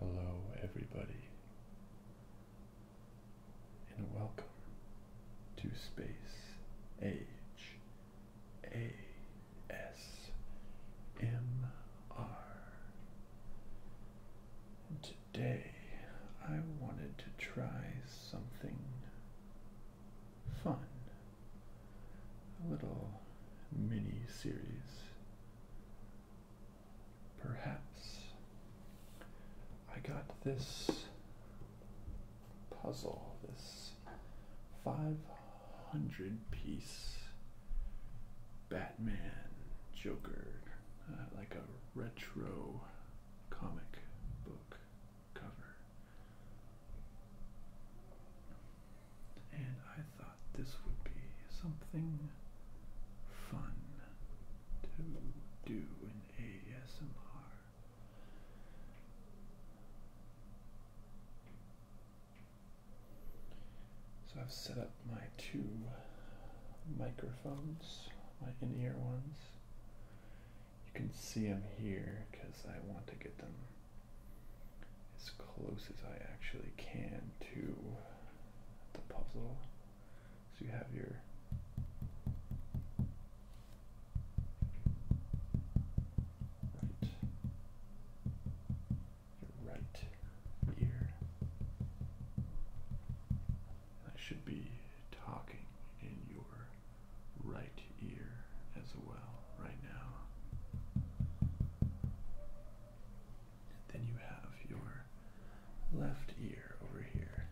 Hello, everybody, and welcome to Space Age ASMR today I wanted to try something fun. A little mini series. Perhaps I got this puzzle, this 500 piece Batman, Joker, uh, like a retro comic book cover. And I thought this would be something fun to do in ASMR. So I've set up my two microphones, my in ear ones. You can see them here because I want to get them as close as I actually can to the puzzle. So you have your right your right ear. I should be talking in your right ear as well right now. then you have your left ear over here.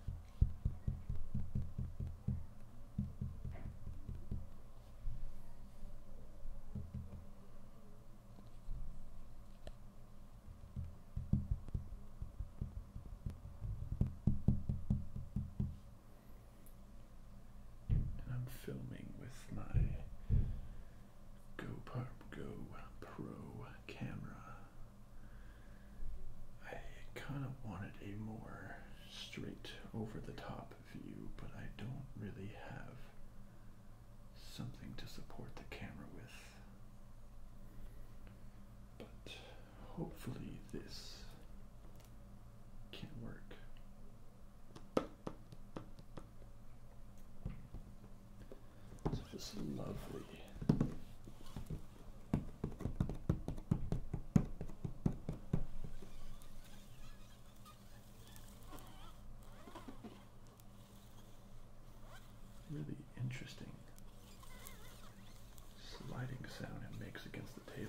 I'm filming with my GoPro Go Pro camera. I kind of wanted a more straight over the top view, but I don't really have something to support the camera with. But hopefully, this can work. So, lovely really interesting sliding sound it makes against the table.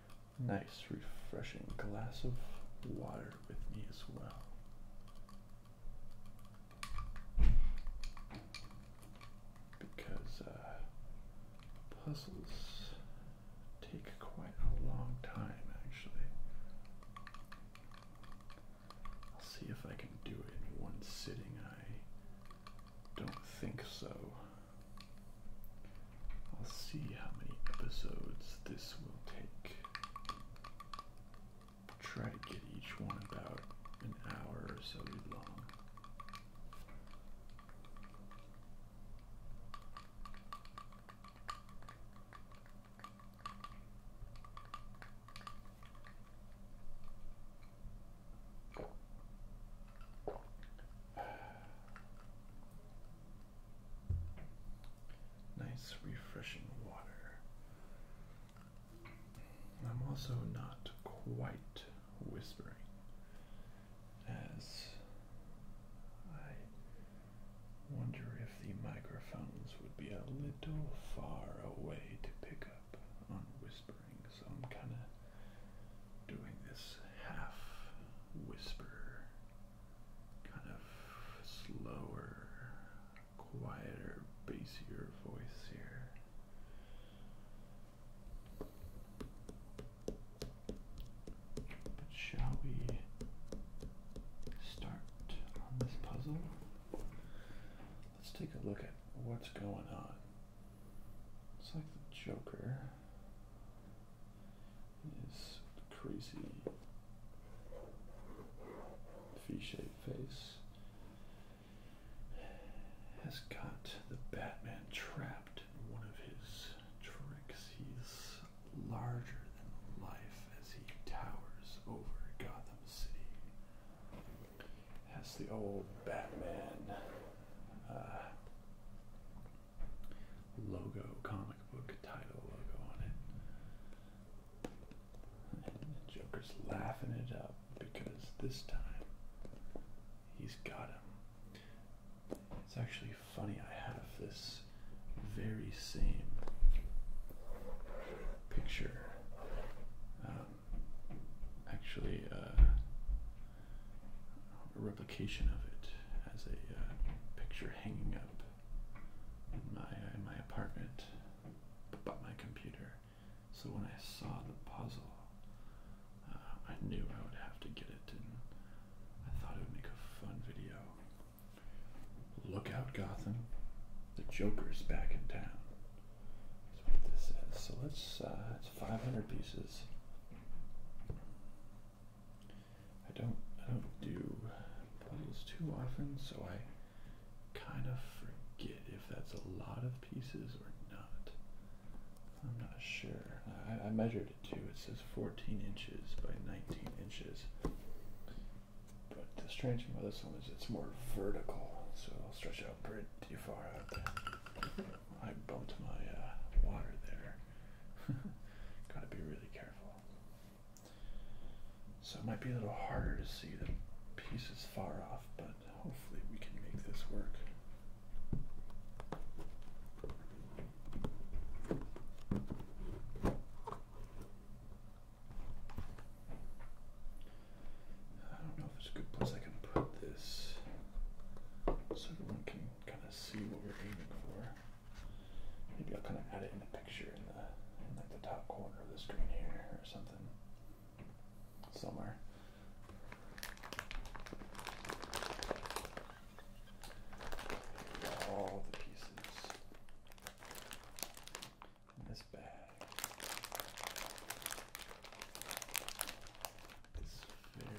nice, refreshing glass of water with me as well. Because uh, puzzles take quite a long time, actually. I'll see if I can do it in one sitting. I don't think so. I'll see how many episodes this will take. Try to get each one about an hour or so long. Nice, refreshing water. I'm also not quite whispering as I wonder if the microphones would be a little far away to pick up on whispering, so I'm kind of doing this half whisper kind of slower, quieter, basier voice here. But shall we start on this puzzle? Let's take a look at what's going on. It's like the Joker his crazy V-shaped face has got the Batman trapped in one of his tricks. He's larger than life as he towers over Gotham City. Has the old Batman uh, logo, comic book title logo on it. the Joker's laughing it up because this time he's got him. It's actually funny, I have this very same picture. Um, actually, uh, a replication of it as a uh, picture hanging up in my, my apartment but my computer. So when I saw the puzzle, uh, I knew I would have to get it, and I thought it would make a fun video. Look out, Gotham. The Joker's back in town. That's what this is. So let's, uh, it's 500 pieces. I don't I don't do puzzles too often, so I kind of forget if that's a lot of pieces or not. I'm not sure. I, measured it too. It says 14 inches by 19 inches. But the strange thing about this one is it's more vertical, so it'll stretch out pretty far out there. I bumped my uh, water there. Gotta be really careful. So it might be a little harder to see the pieces far off, but hopefully we can make this work. I don't know if it's a good place I can put this so everyone can kind of see what we're aiming for. Maybe I'll kind of add it in a picture in the in like the top corner of the screen here or something somewhere. All the pieces in this bag. This very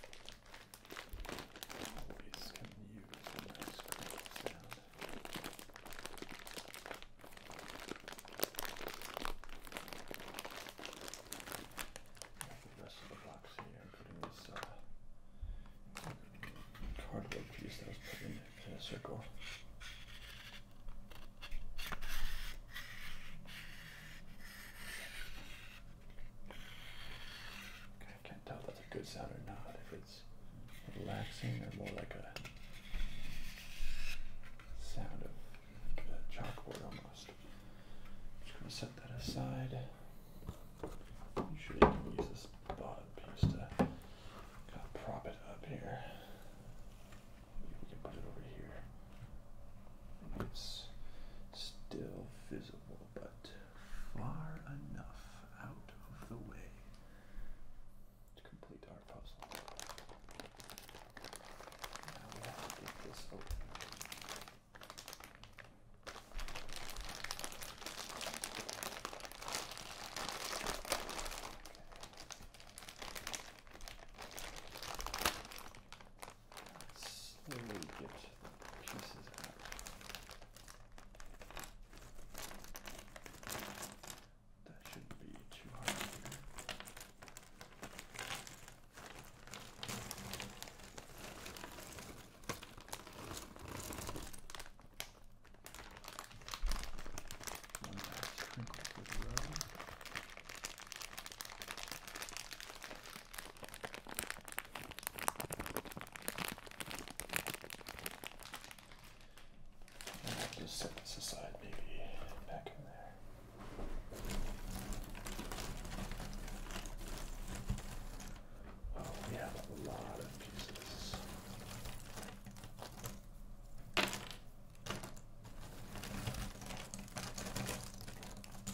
Always can use a nice clean sound. The rest of the box here, including this uh, cardboard piece that was put in, in a circle. I can't tell if that's a good sound or not, if it's relaxing or more like a sound of like a chalkboard almost. I'm just going to set that aside. Usually I can use this bottom piece to prop it up here. Maybe we can put it over here still visible, but far enough out of the way to complete our puzzle. Now we have to get this open slowly get the pieces out. That shouldn't be too hard here. One last sprinkle for the row. I'll just set this aside, maybe back in there. Oh, we have a lot of pieces.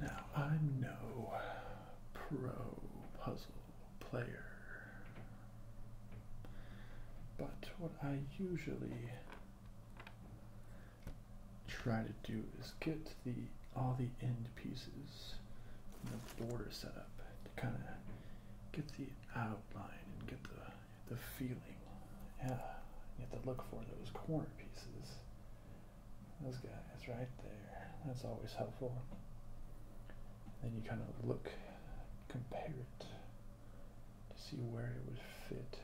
Now I'm no pro puzzle player, but what I usually try to do is get the all the end pieces and the border set up to kind of get the outline and get the the feeling. Yeah, you have to look for those corner pieces. Those guys right there. That's always helpful. Then you kind of look, compare it to see where it would fit.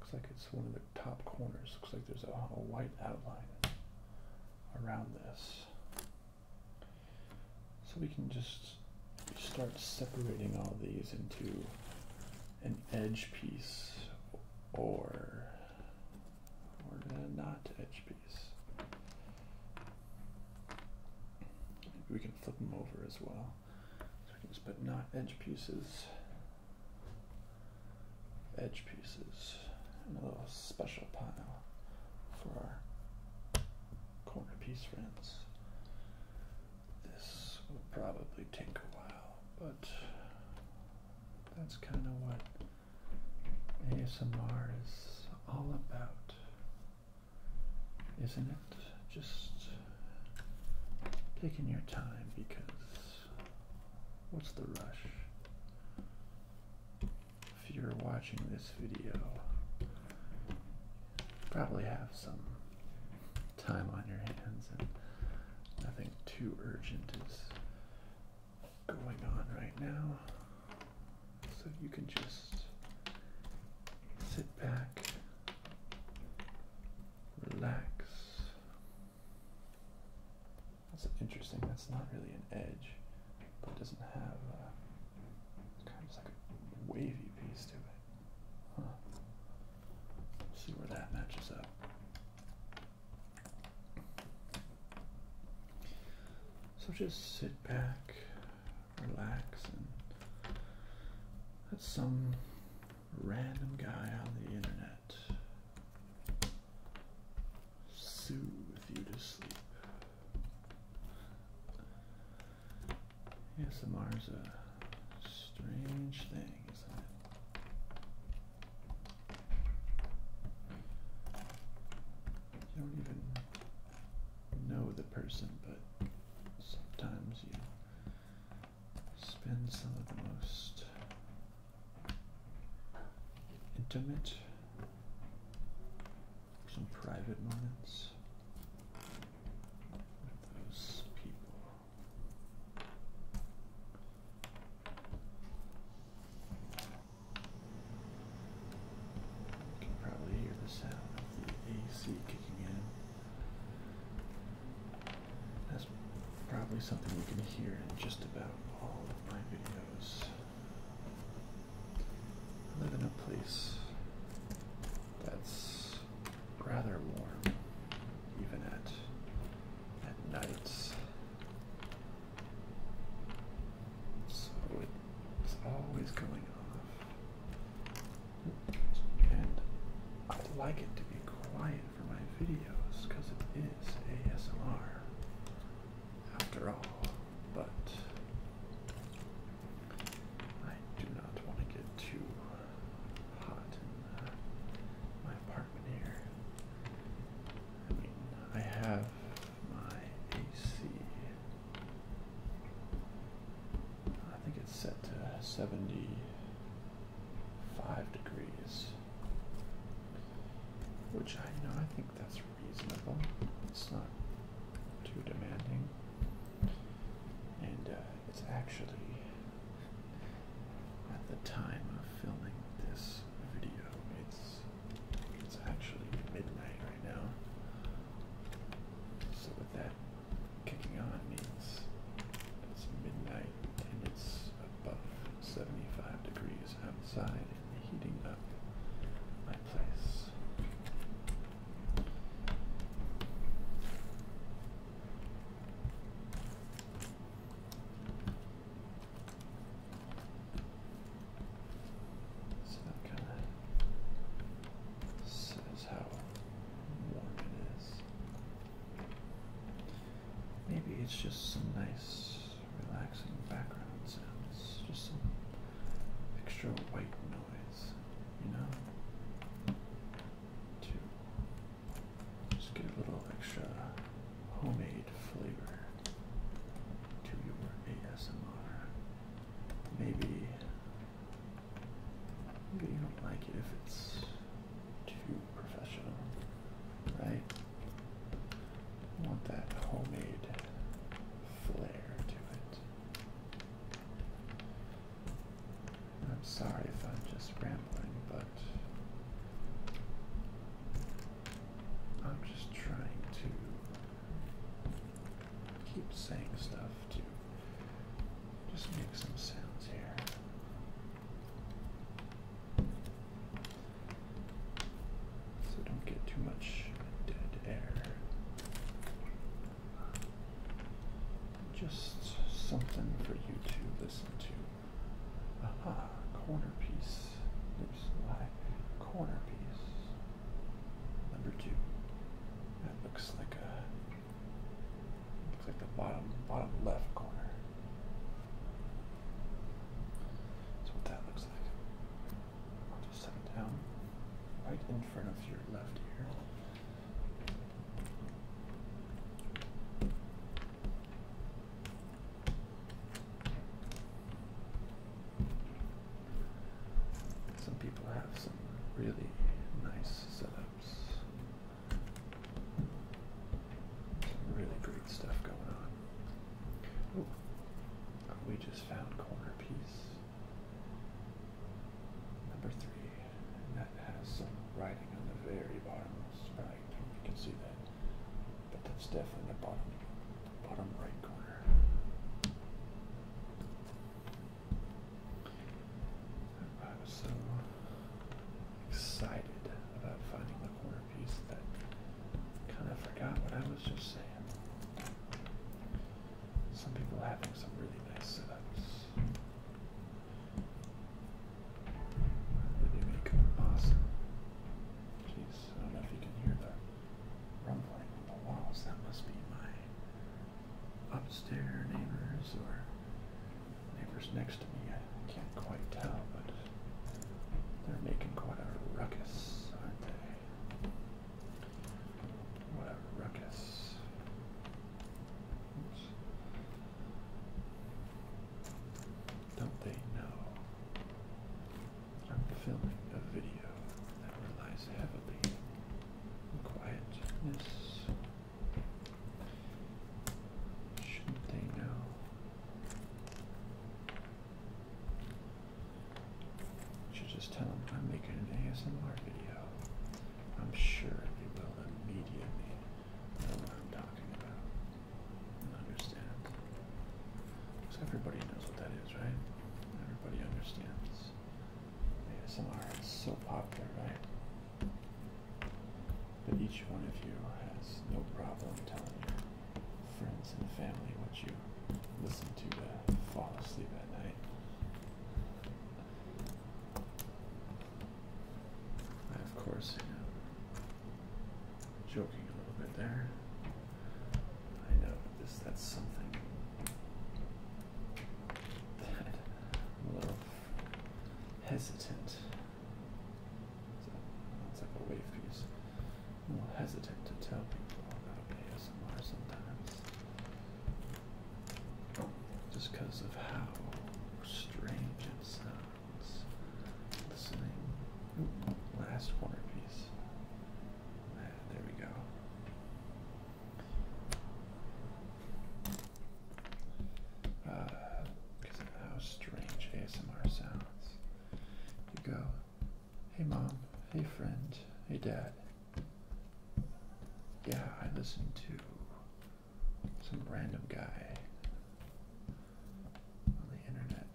Looks like it's one of the top corners. Looks like there's a, a white outline around this. So we can just start separating all these into an edge piece or or a not edge piece. Maybe we can flip them over as well. So we can just put not edge pieces, edge pieces, in a little special pile for our corner piece friends. This will probably take a while, but that's kind of what ASMR is all about, isn't it? Just taking your time because what's the rush? If you're watching this video, probably have some time on your hands and nothing too urgent is going on right now. So you can just sit back, relax. That's interesting. That's not really an edge, but it doesn't have a, uh, kind of like a wavy piece to it. See where that matches up. So just sit back, relax, and let some random guy on the internet soothe you to sleep. ASMR is a strange thing, isn't it? You don't even know the person, but sometimes you spend some of the most intimate, some private moments with those people. You can probably hear the sound of the AC kicking in. That's probably something you can hear in just about all of my videos. I live in a place that's rather warm, even at at nights. So it's always going off, and I like it to be quiet for my videos because it is ASMR after all. But I do not want to get too hot my apartment here. I mean, I have my AC. I think it's set to 75 degrees, which I know I think that's reasonable. It's not too demanding. And uh, it's actually at the time of filming this video. It's it's actually midnight right now. So with that kicking on means it's midnight and it's above 75 degrees outside and heating up my place. So that kind of says how warm it is. Maybe it's just some nice, relaxing background sounds, just some extra white noise, you know, to just get a little extra homemade flavor to your ASMR. Maybe, maybe you don't like it if it's too professional, right? want that homemade flair to it. I'm sorry if I'm just rambling, but I'm just trying to keep saying stuff to just make some sounds here. So don't get too much dead air just something for you to listen to. Aha, corner piece. Oops, my corner piece. Number two. That looks like a looks like the bottom bottom left corner. That's what that looks like. I'll just set it down right in front of your left ear. Some people have some really nice setups. Some really great stuff going on. We just found corner piece number three that has some writing on the very bottom right. You can see that, but that's definitely the bottom, bottom right corner. I was so excited about finding the corner piece that kind of forgot what I was just saying. Some people are having some really nice setups. They make awesome. Jeez, I don't know if you can hear the rumbling in the walls. That must be my upstairs neighbors or neighbors next to me. I can't quite tell, but they're making quite a ruckus, aren't they? What a ruckus. Don't they know I'm filming a video that relies heavily on quietness? Shouldn't they know? Should just tell them I'm making an ASMR video. I'm sure they will immediately I don't know what I'm talking about. And understand. Because everybody knows what that is, right? Everybody understands. ASMR is so popular, right? But each one of you has no problem telling your friends and family what you listen to to fall asleep at night. I, of course, you know, Joking a little bit there. I know, this that's something I'm a little hesitant. it's like a wave piece. i hesitant to tell people about ASMR sometimes. Just because of how strange it's last corner piece. Ah, there we go. Uh, how strange ASMR sounds. You go, hey mom, hey friend, hey dad. Yeah, I listen to some random guy on the internet.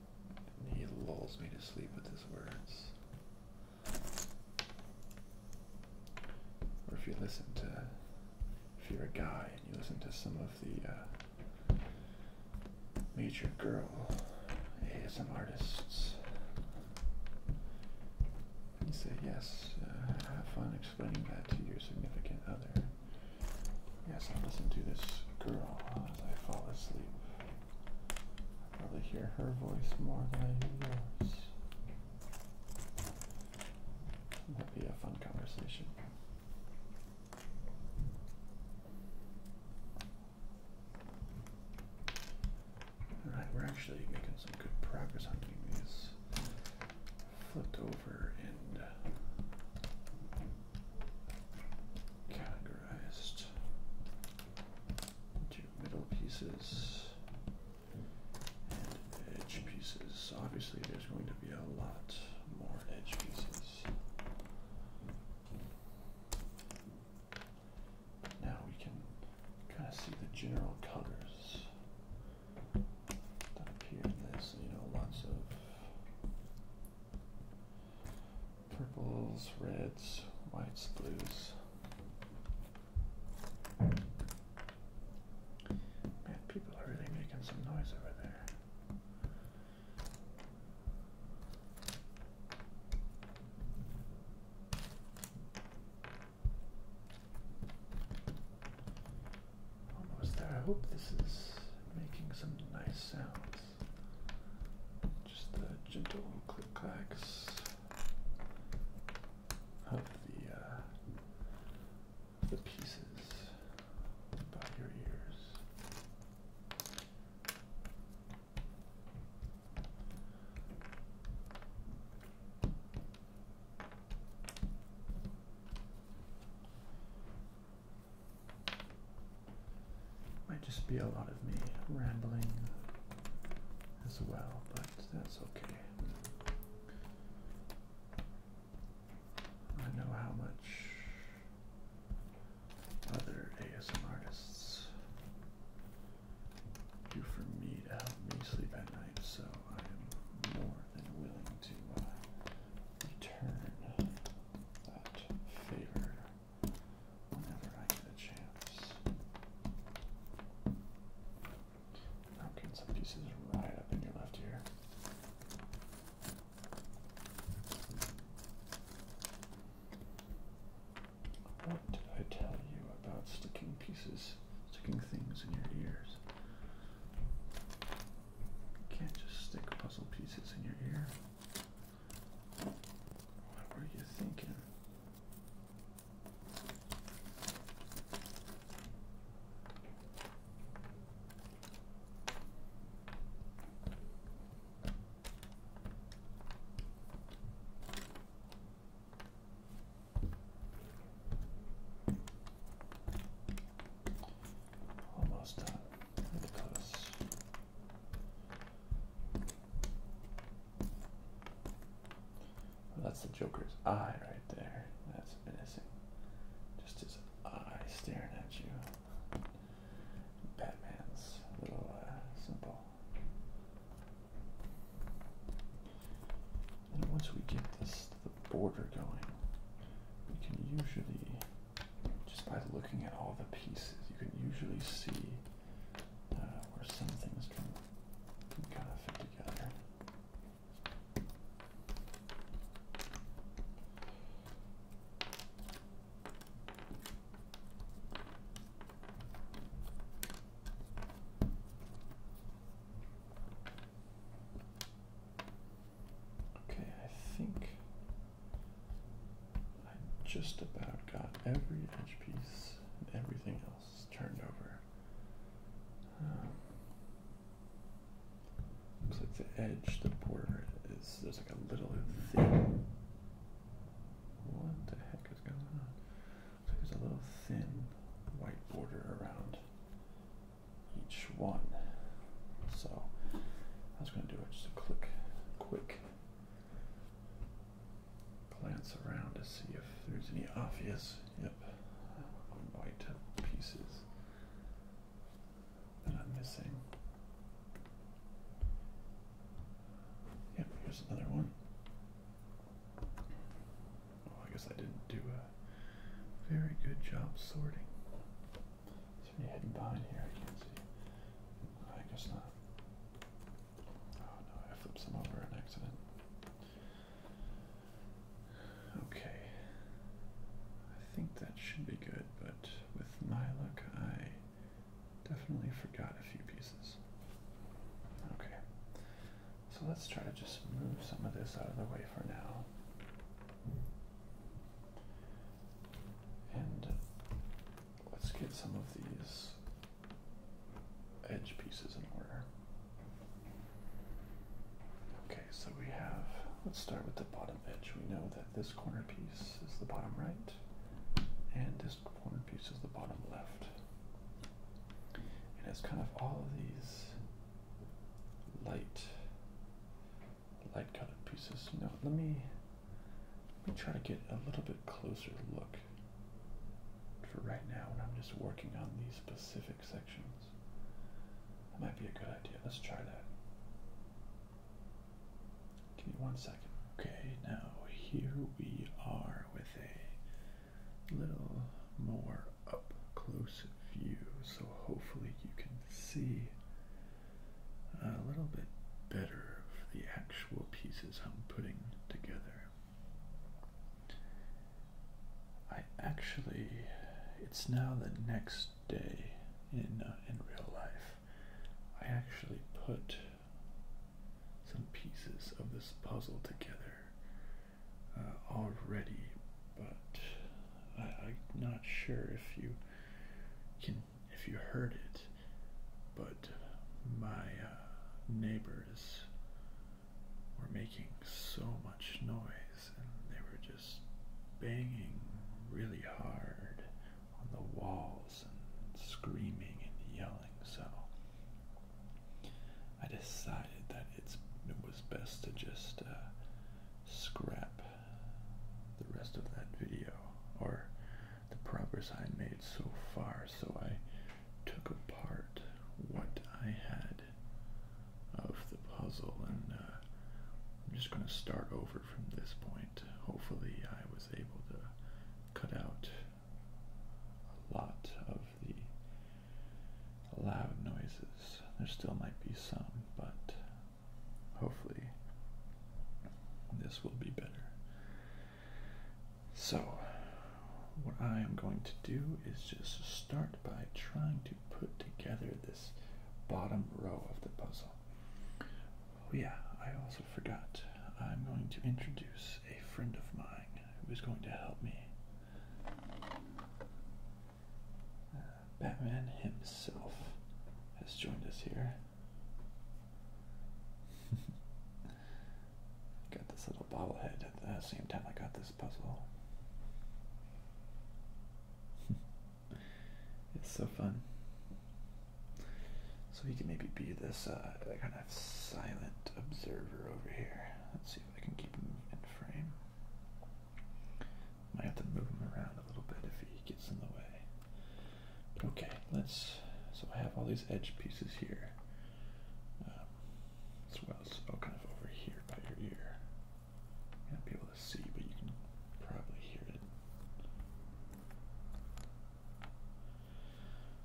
And he lulls me to sleep with his words. Or if you listen to, if you're a guy and you listen to some of the uh, major girl ASM artists, you say, yes, uh, have fun explaining that to your significant other. Yes, I listen to this girl as I fall asleep. I probably hear her voice more than I hear yours. That'd be a fun conversation. Alright, we're actually making some good progress on these flipped over and uh, categorized into middle pieces and edge pieces. Obviously, there's going to be a lot more edge pieces. Now we can kind of see the general colors up here, in this. You know, lots of purples, reds, whites, blues. Man, people are really making some noise over there. Almost there. I hope this is making some nice sounds. Just the gentle click clacks of the uh, the pieces by your ears. Might just be a lot of me rambling as well, but that's okay. I know how much other ASM artists do for me to help me sleep at night, so I am more than willing to uh, return that favor whenever I get a chance. I'm getting some pieces right up in your left ear. What did I tell you about sticking pieces, sticking things in your ears? Can't just stick puzzle pieces in your ear. What were you thinking? Almost done. That's the Joker's eye right there. That's menacing. Just his eye staring at you. Batman's little uh, symbol. And once we get this the border going, we can usually just by looking at all the pieces, you can usually see uh, where some things can kind of fit together. Okay, I think I just about got every edge piece and everything else turned over. Um, looks like the edge, the border is there's like a little thin. What the heck is going on? Looks there's a little thin white border around each one. So I was going to do it just a click, quick glance around to see if there's any obvious, yep, white pieces that I'm missing. Yep, here's another one. Oh, I guess I didn't do a very good job sorting. It's there hidden behind here? I can't see. I guess not. Oh no, I flipped some over an accident. Okay. I think that should be good, but with my luck, I definitely forgot a few pieces. Okay. So let's try to just move some of this out of the way for now. And uh, let's get some of these edge pieces in order. Okay, so we have, let's start with the bottom edge. We know that this corner piece is the bottom right, and this corner piece is the bottom left. And it's kind of all of these light light colored pieces. You let me let me try to get a little bit closer look for right now when I'm just working on these specific sections. That might be a good idea. Let's try that. Give me one second. Okay, now here we are with a little more up close view, so hopefully you can see a little bit better for the actual pieces I'm putting together. I actually, it's now the next day in uh, in real life. I actually put some pieces of this puzzle together uh, already, but I'm not sure if you can if you heard it, but my uh, neighbors were making so much noise and they were just banging really hard on the walls and screaming and yelling so I decided that it's it was best to just uh, scrap the rest of that video or the progress I made so far. So I took apart what I had of the puzzle and uh, I'm just going to start over from this point. Hopefully I was able to cut out a lot of the loud noises. There still might be some, but hopefully this will be better. So, what I am going to do is just start by trying to put together this bottom row of the puzzle. Oh, yeah, I also forgot. I'm going to introduce a friend of mine who is going to help me. Batman himself has joined us here. got this little bobblehead at the same time I got this puzzle. it's so fun. So he can maybe be this uh, kind of silent observer over here. Let's see if I can keep him in frame. Might have to move him around a little bit if he gets in the way okay, let's, so I have all these edge pieces here, as well as oh, kind of over here by your ear. You not be able to see, but you can probably hear it.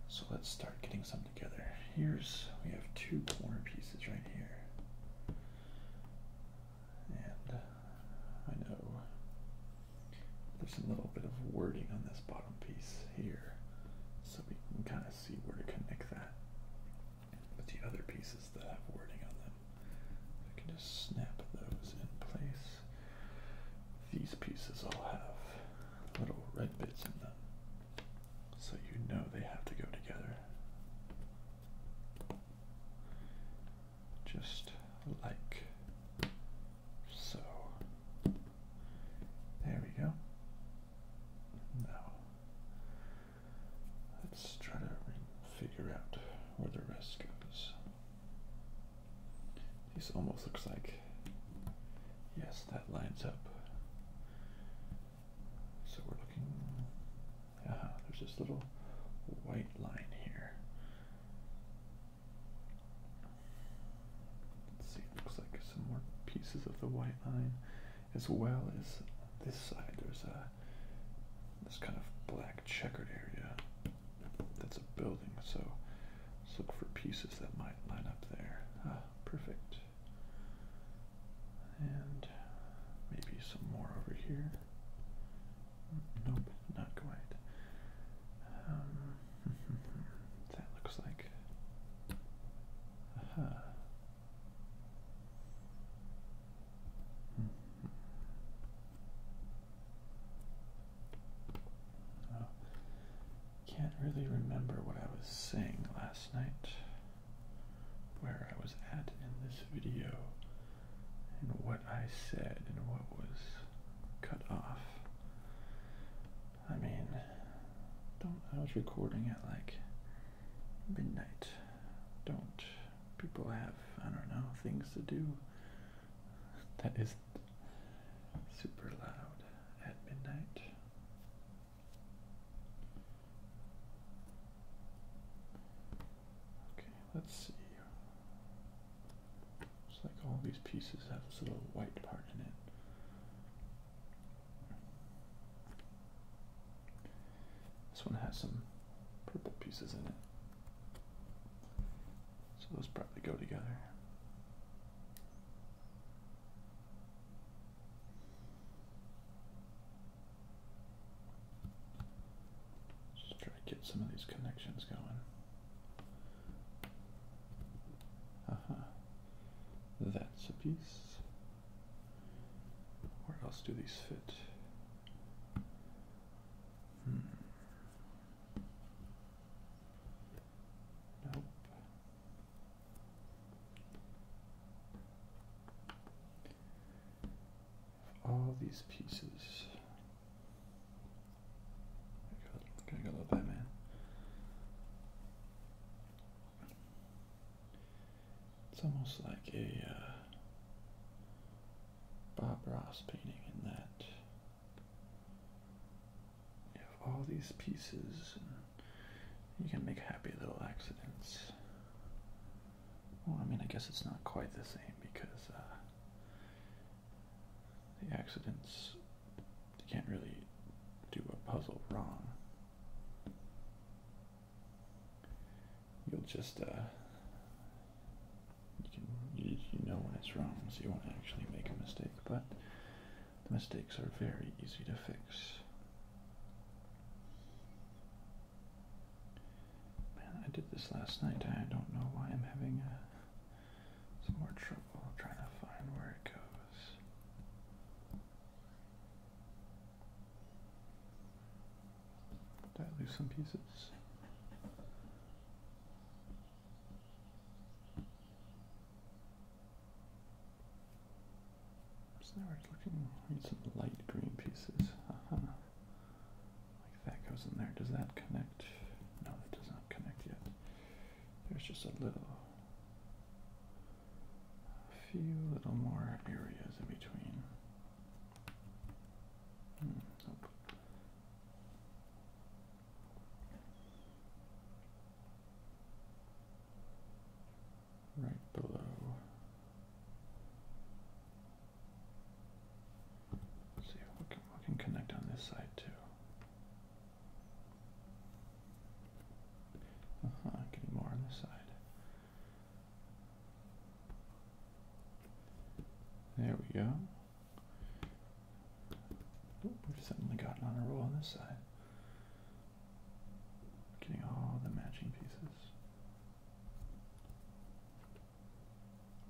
So let's start getting some together. Here's, we have two corner pieces right here. And uh, I know there's a little bit of wording on this bottom piece here, so we can kind of see where to connect that. with the other pieces that have wording on them, I can just snap those in place. These pieces all have little red bits in them, so you know they have to go together just like so. There we go. Now, let's try to figure out where the rest goes. This almost looks like, yes, that lines up. So we're looking, ah, there's this little white line here. Let's see, looks like some more pieces of the white line, as well as this side. There's a this kind of black checkered area. That's a building, so let's look for pieces that might line up there. Ah, perfect. And maybe some more over here. Nope, not quite. Um, that looks like. Uh-huh. Oh, can't really remember what I was saying last night, where I was at in this video and what I said and what was cut off. I mean, don't. I was recording at like midnight. Don't. People have, I don't know, things to do. That isn't super loud at midnight. Okay, let's see. Looks like all these pieces have this little white part in it. This one has some purple pieces in it. So those probably go together. Just try to get some of these connections going. Uh-huh. That's a piece. Where else do these fit? Hmm. Nope all these pieces. Gotta go love It's almost like a uh, Bob Ross painting in that you have all these pieces and you can make happy little accidents. Well, I mean, I guess it's not quite the same because uh, the accidents you can't really do a puzzle wrong. You'll just uh, you know when it's wrong, so you won't actually make a mistake, but the mistakes are very easy to fix. Man, I did this last night. I don't know why I'm having a some more trouble trying to find where it goes. Did I lose some pieces? So now we're looking. We some light green pieces. Uh-huh. Like that goes in there. Does that connect? No, that does not connect yet. There's just a little, a few little more areas in between. Hmm, nope. Right below see we can, we can connect on this side too. getting uh-huh, more on this side. There we go. we've suddenly gotten on a roll on this side. Getting all the matching pieces.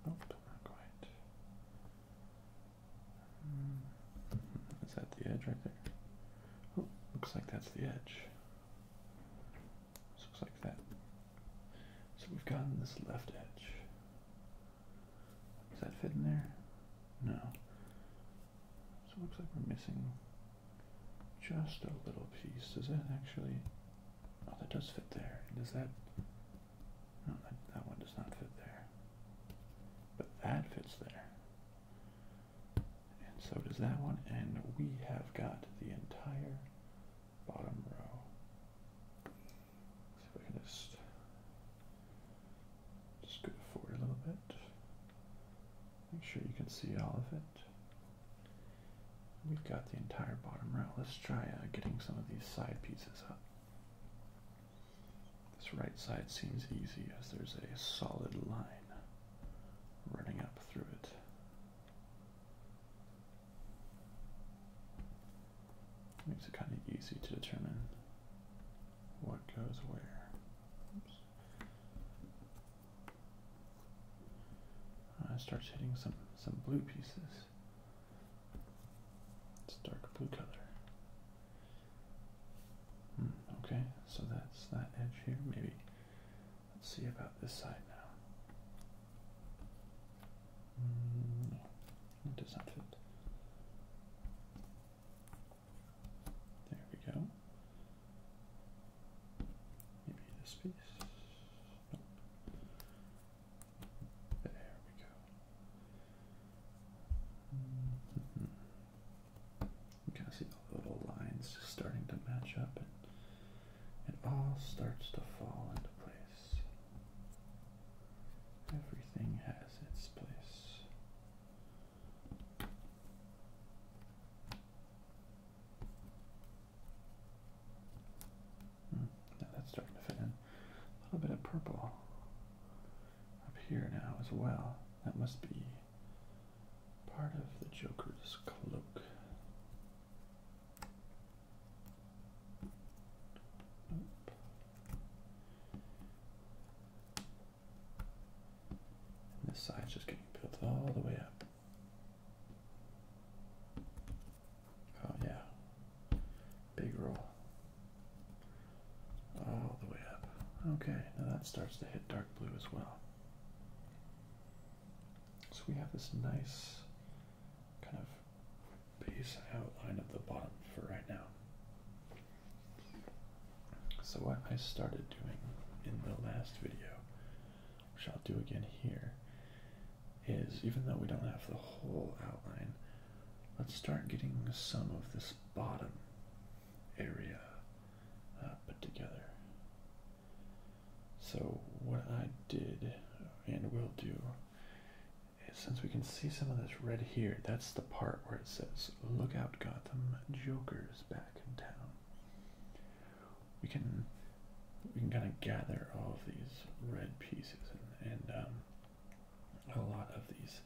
Nope, oh, not quite. Is that the edge right there? Oh, looks like that's the edge. looks like that. So we've gotten this left edge. Does that fit in there? No. So looks like we're missing just a little piece. Does that actually... Oh, that does fit there. Does that... No, that, one does not fit there. But that fits there. And so does that one. And we have got the entire bottom row. Let's see if I can just just go forward a little bit. Make sure you can see all of it. We've got the entire bottom row. Let's try uh, getting some of these side pieces up. This right side seems easy as there's a solid line running up through it. Makes it kind of easy to determine what goes where. Oops. Uh, it starts hitting some some blue pieces. It's dark blue color. Hmm, okay, so that's that edge here. Maybe let's see about this side now. Hmm, does not fit. There we go. Maybe this piece. There we go. You can see the little lines starting to match up, and it all starts to fall into place. Everything has its place. Hmm, now that's starting to fit in a little bit of purple up here now as well. That must be part of the Joker's cloak. Nope. this side's just getting built all the way up. Oh yeah. Big roll. All the way up. Okay, now that starts to hit dark blue as well. So we have this nice kind of base outline of the bottom for right now. So what I started doing in the last video, which I'll do again here, is even though we don't have the whole outline, Let's start getting some of this bottom area uh, put together. So what I did and will do is since we can see some of this red here, that's the part where it says, look out Gotham, Joker's back in town. We can we can kind of gather all of these red pieces and, and um, a lot of these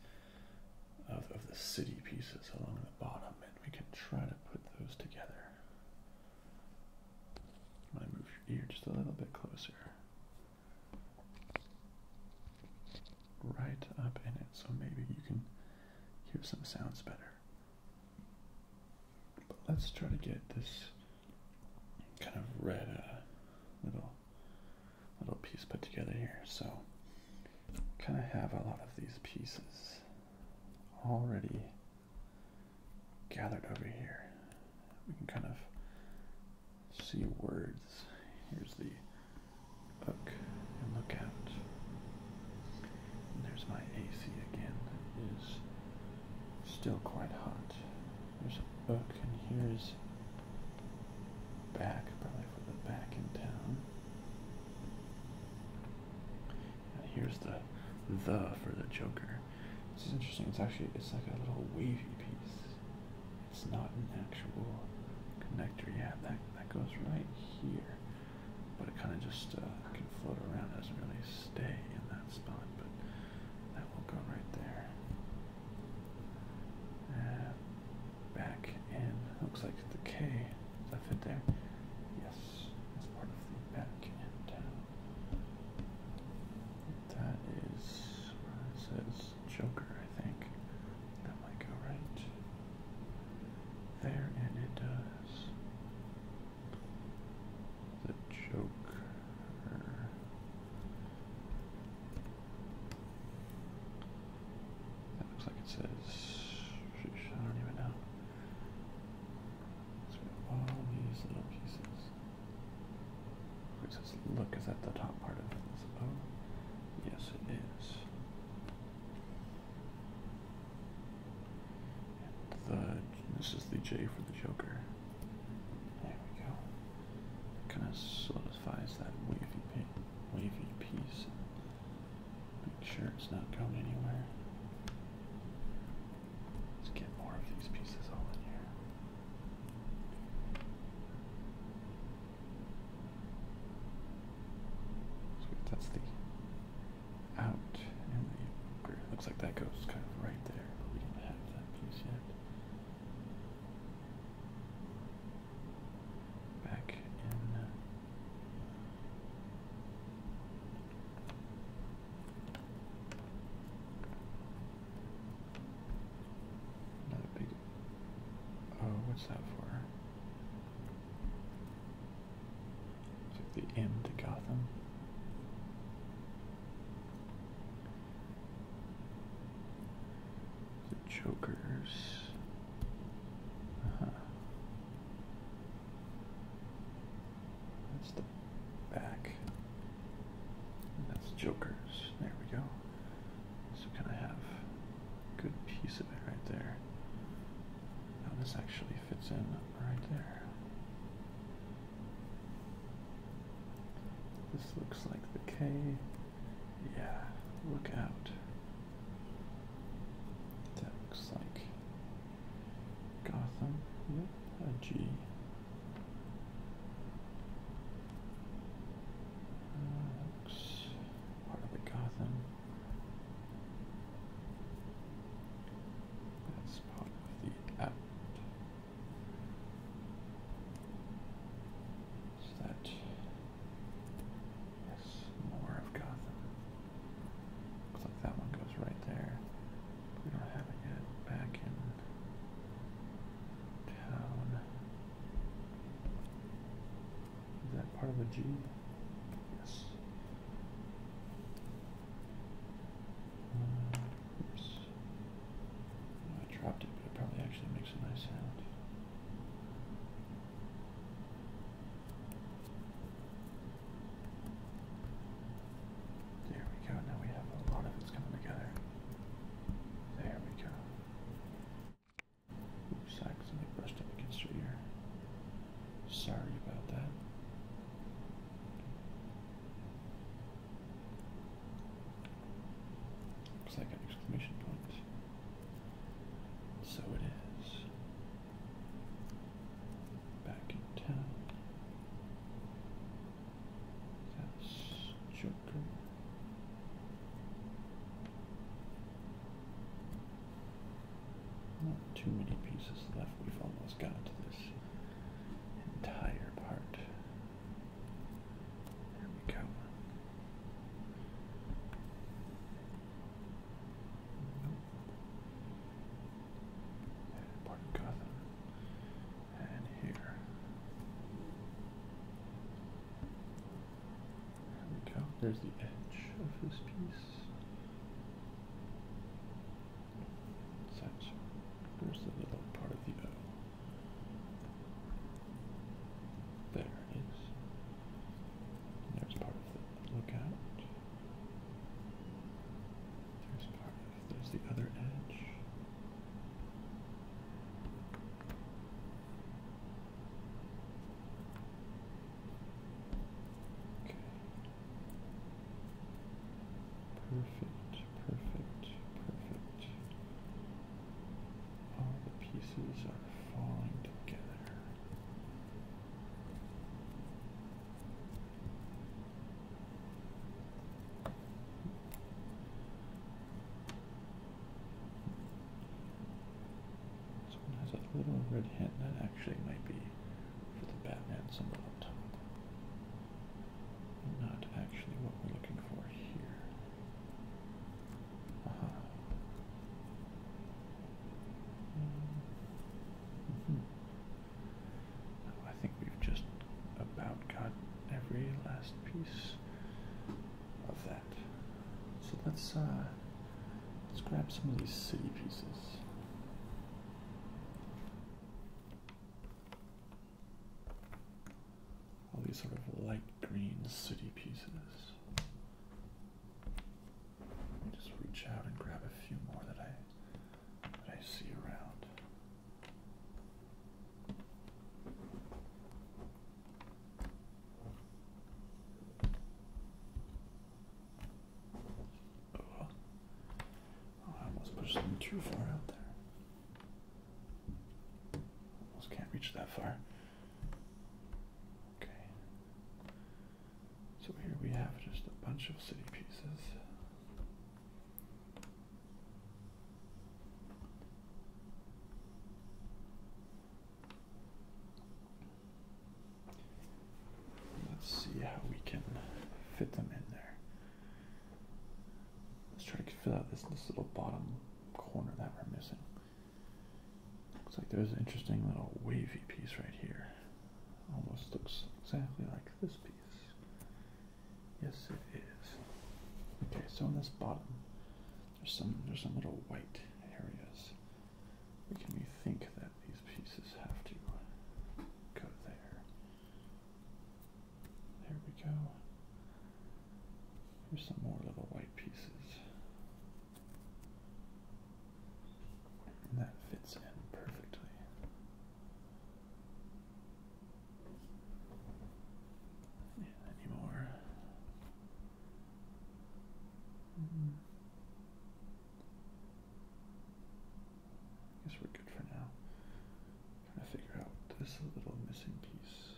of, the city pieces along the bottom and we can try to put those together. I'm move your ear just a little bit closer. Right up in it so maybe you can hear some sounds better. But let's try to get this kind of red uh, little little piece put together here. So kind of have a lot of these pieces already gathered over here. We can kind of see words. Here's the hook and look out. there's my AC again. That is still quite hot. There's a book and here's back, probably for the back in town. And here's the the for the Joker. This is interesting. It's actually it's like a little wavy piece. It's not an actual connector. Yeah, that that goes right here, but it kind of just uh, can float around. doesn't really stay in that spot, but that will go right there. Uh, back in, looks like the K. Does that fit there? Yes, it's part of the back end. That is says Joker, I think. That might go right there, and it does. The Joker. That looks like it says. I don't even know. So all these little pieces. It says, look, is that the top part of this? Oh, yes, it is. the, this is the J for the Joker. There we go kind of solidifies that wavy, wavy piece. Make sure it's not going anywhere. Let's get more of these pieces all in here. So that's the out and the looks like that goes kind of right there, but we have that piece yet. Back in. Another big. Oh, what's that for? Took the M to Gotham. The Jokers. Uh -huh. That's the back. that's Jokers. There we go. So can I have a good piece of it right there? Now this actually fits in right there. This looks like the K. Yeah, look out. That looks like Gotham. Yep, a G. Uh, looks part of the Gotham. That's part of the app. Is that yes, more of Gotham? Looks like that one goes right there. we don't have it yet. Back in town. Is that part of a G? Yes. Uh, I dropped it, but it probably actually makes a nice sound. There we go. Now we have a lot of it's coming together. There we go. Oops, I accidentally brushed up against your ear. Sorry about that. Looks like an exclamation point. So it is. Back in town. That's Joker. Not too many pieces left. We've almost got to this entire part. There we go. part of And here. There we go. There's the edge of this piece. Such. There's the little part of the O. There it is. There's part of the lookout. There's part of there's the other edge. Okay. Perfect, perfect, perfect all the pieces are falling together. This one has a little red hint that actually might be for the Batman symbol up top. Not actually what we're looking for here. Uh-huh. I think we've just about got every last piece of that. So let's uh, let's grab some of these city pieces all these sort of light green city pieces. Let me just reach out and grab a few more that I I see around. Oh, I almost pushed them too far out there. Almost can't reach that far. Okay. So here we have just a bunch of city pieces. Let's see how we can fit them in there. Let's try to fill out this, this little bottom corner that we're missing. Looks like there's an interesting little wavy piece right here. Almost looks exactly like this piece. Yes, it is. Okay, so in this bottom, there's some there's some little white areas. can we think that these pieces have to go there? There we go. Here's some more little white pieces. And that fits in perfectly. any more? Mm-hmm. I guess we're good for now. trying to figure out this little missing piece.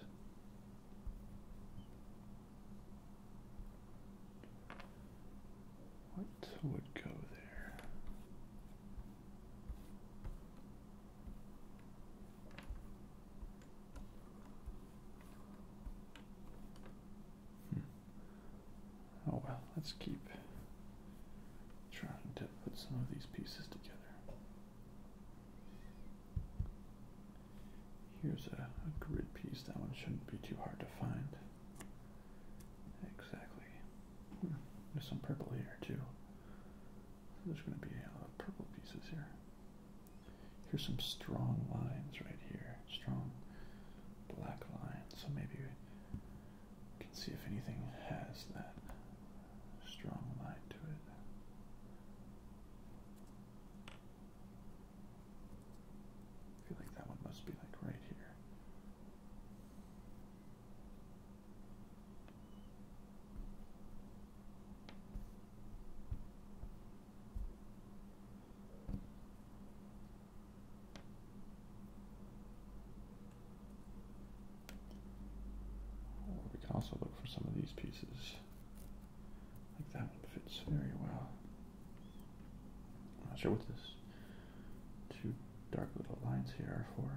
What would go there? Hmm. Oh well, let's keep trying to put some of these pieces together. Here's a, grid piece. That one shouldn't be too hard to find. Exactly. Hmm. There's some purple here too. there's going to be a lot of purple pieces here. Here's some strong lines right here. Strong black lines. So maybe we can see if anything has that strong line to it. I feel like that one must be like right here. we can also look for some of these pieces. I that fits very well. I'm not sure what this two dark little lines here are for.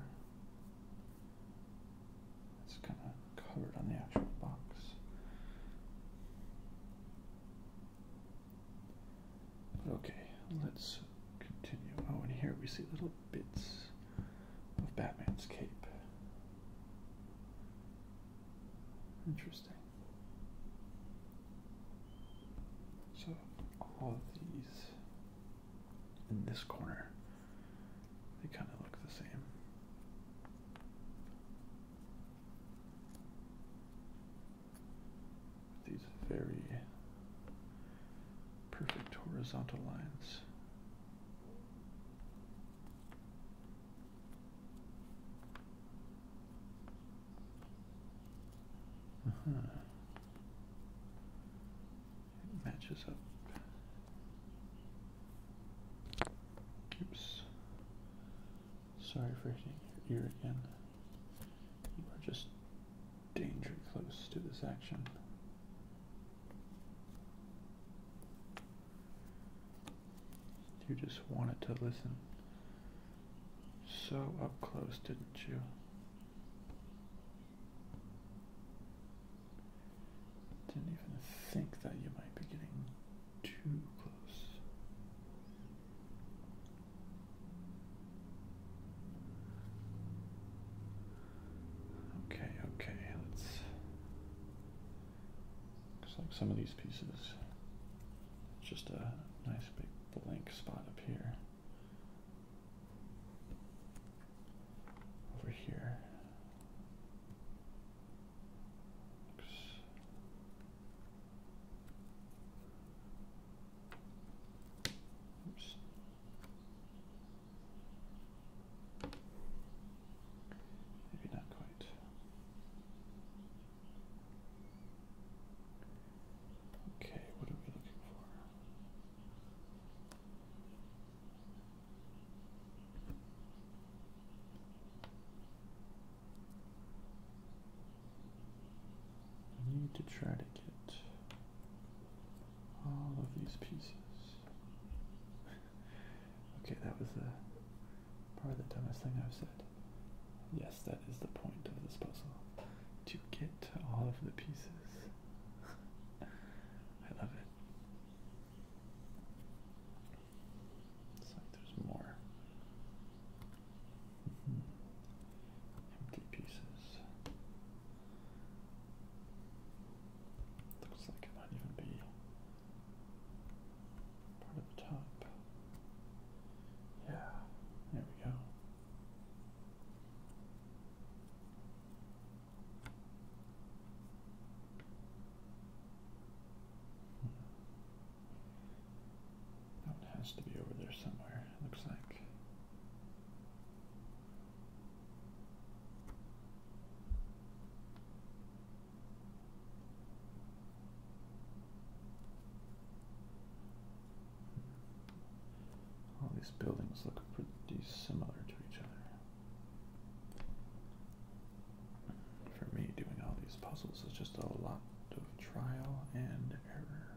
It's kind of covered on the actual box. okay, let's continue. Oh, and here we see little bits of Batman's cape. Interesting. So all of these in this corner, they kind of look the same. These very perfect horizontal lines. Uh -huh. matches up. Oops. Sorry for hitting your ear again. You are just danger close to this action. You just wanted to listen so up close, didn't you? Didn't even think that you might be getting too close. Okay, okay, let's Looks like some of these pieces, just a nice big blank spot up here. Over here. Oops. Maybe not quite. Okay, what are we looking for? I need to try to get all of these pieces. okay, that was a Probably the dumbest thing I've said. Yes, that is the point of this puzzle. To get all of the pieces. I love it. It's like there's more. Mm-hmm. Empty pieces. Looks like it might even be Part of the top. Yeah, there we go. That one has to be over there somewhere, it looks like. All these buildings look pretty similar to each other. For me, doing all these puzzles is just a lot of trial and error.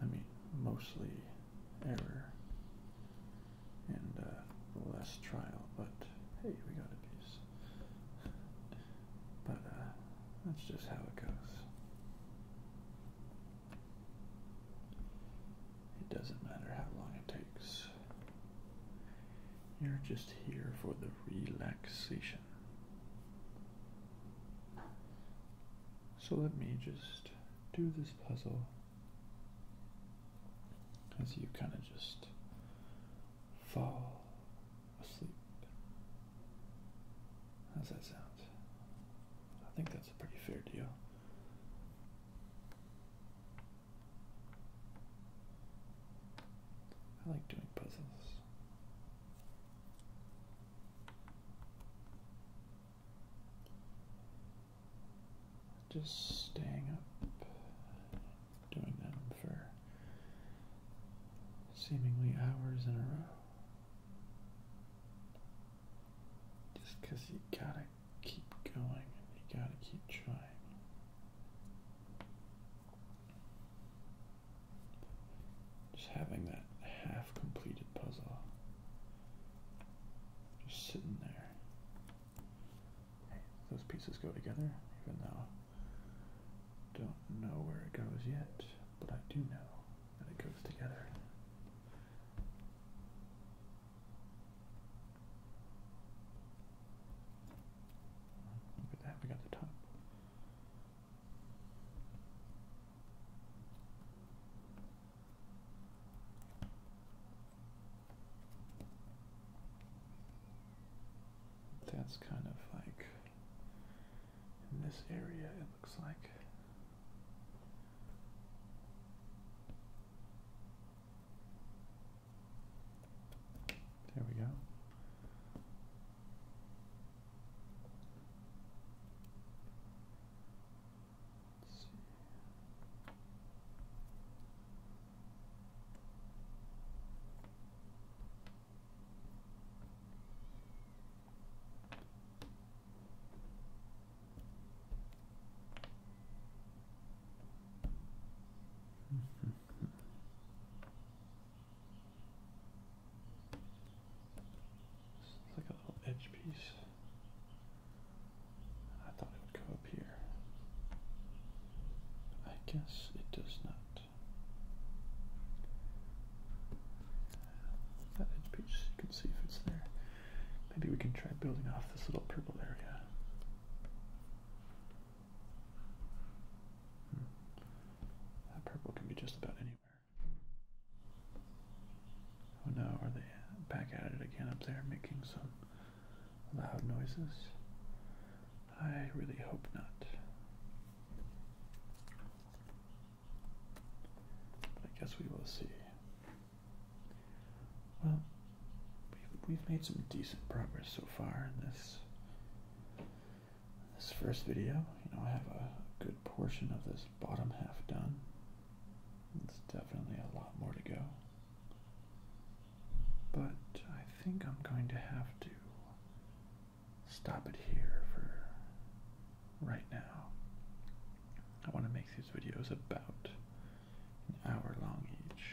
I mean, mostly error and uh, less trial, but hey, we got a piece. But uh, that's just how it goes. It doesn't matter how long it takes. You're just here for the relaxation. So let me just do this puzzle as you kind of just fall asleep. How's that sound? I think that's a pretty fair deal. I like doing puzzles. Just staying up doing them for seemingly hours in a row. Just because you gotta keep going and you gotta keep trying. Just having that half completed puzzle just sitting there. Those pieces go together, even though don't know where it goes yet, but I do know that it goes together. Look at that, we got the top that's kind of like in this area, it looks like. There we go like a little edge piece. I thought it would come up here. I guess it does not. That edge page, you can see if it's there. Maybe we can try building off this little purple area. Hmm. That purple can be just about anywhere. Oh no, are they back at it again up there making some loud noises? I really hope not. I guess we will see. Well, we've, made some decent progress so far in this this first video. You know, I have a good portion of this bottom half done. It's definitely a lot more to go. But I think I'm going to have to stop it here for right now. I want to make these videos about an hour long each.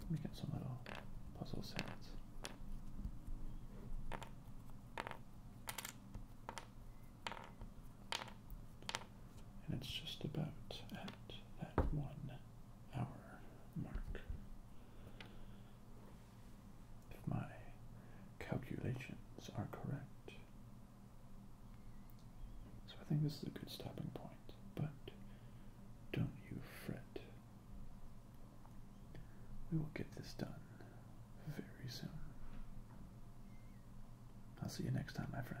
Let me get some little puzzle sets. And it's just about at that one hour mark. If my calculations are correct. So I think this is a good stopping point, but don't you fret. We will get this done very soon. I'll see you next time, my friends.